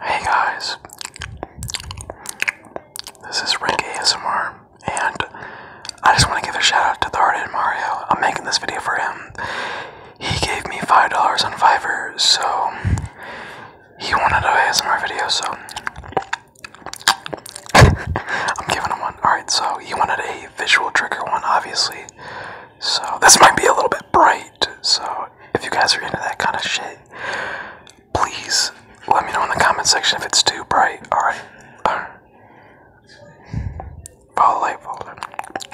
Hey guys, this is Rick ASMR, and I just want to give a shout out to the Hearted Mario. I'm making this video for him. He gave me $5 on Fiverr, so he wanted a ASMR video, so I'm giving him one. Alright, so he wanted a visual trigger one, obviously. So this might be a little bit bright. So if you guys are into that kind of shit, please let me know in the comment section if it's too bright. All right. Follow light, follow light.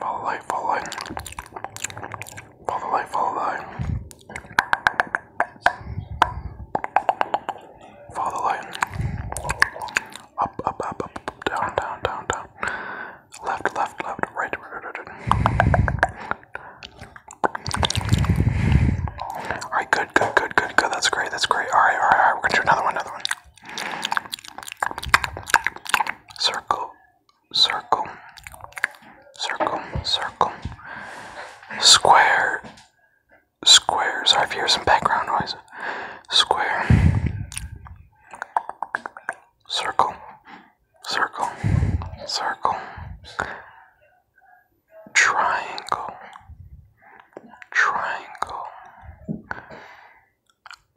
Follow light, follow light. Follow the light. Up, up, up, up, down, down, down, down. Left, left, left, right, right, right, Alright, good, good, good, good, good. That's great, that's great. alright, alright. We're gonna do another one, another one. Circle, circle, circle, circle. Square, Squares. I hear some background noise. Square. Circle. Circle. Circle. Triangle. Triangle.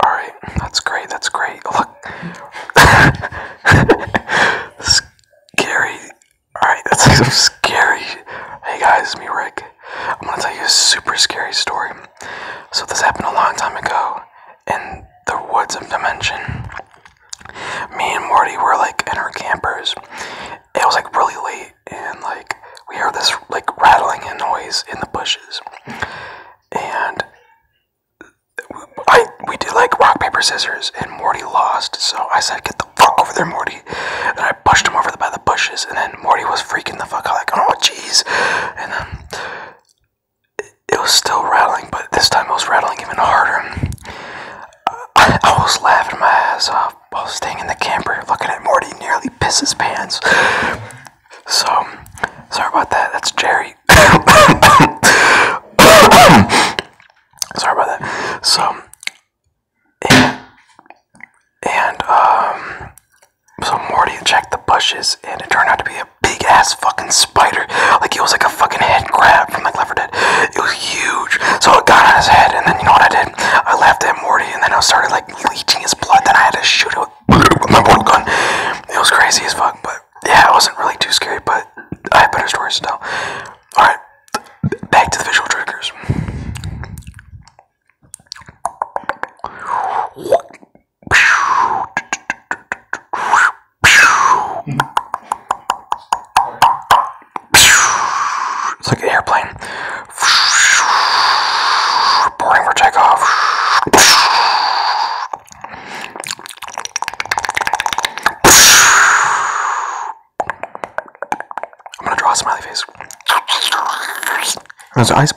Alright, that's great, that's great. Look. scary. Alright, that's some scary. Hey guys, it's me Rick. I'm gonna tell you a super scary story. So this happened a long time ago in the woods of Dimension. Me and Morty were like in our campers. It was like really late, and like we heard this like rattling noise in the bushes, and I we did like rock paper scissors, and Morty lost. So I said, "Get the the fuck over there, Morty. And I pushed him over by the bushes, and then Morty was freaking the fuck out, like, oh, jeez. And then it, was still rattling, but this time it was rattling even harder. I was laughing my ass off while staying in the camper, looking at Morty nearly piss his pants. So, sorry about that. That's Jerry. sorry about that. So, and um so Morty checked the bushes and it turned out to be a big ass fucking spider. Like it was like a fucking head grab from like Left 4 It was huge. So it got on his head and then you know what I did? I laughed at Morty and then I started like leeching his blood. Then I had to shoot it with my portal gun. It was crazy as fuck, but yeah, it wasn't really too scary, but I had better stories to tell. Alright, back to the visual triggers. It's like an airplane. Boarding for takeoff. I'm gonna draw a smiley face. There's eyes.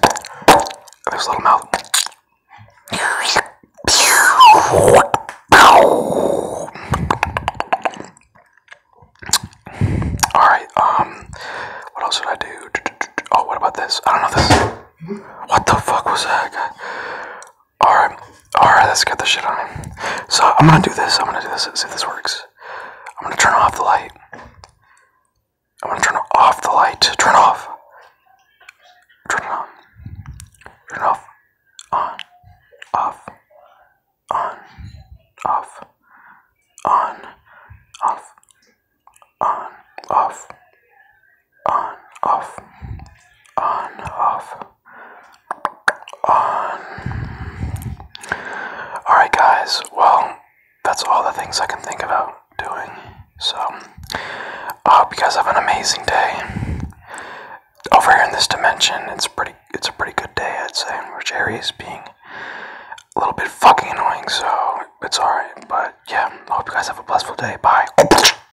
There's little mouth. Alright, um, what else should I do? Oh, what about this? I don't know, this. What the fuck was that? Alright, alright, let's get the shit on him. So I'm gonna do this, I'm gonna do this, see if this works. I'm gonna turn off the light. I'm gonna turn off the light. Turn off. Turn it on. Turn it off. On. Off. On. Off. On. Off. On. Off. On. Off. On. Off. Um, alright, guys, well, that's all the things I can think about doing. So, I hope you guys have an amazing day. Over here in this dimension, it's pretty. It's a pretty good day, I'd say. Where Jerry is being a little bit fucking annoying, so it's alright. But yeah, I hope you guys have a blissful day. Bye.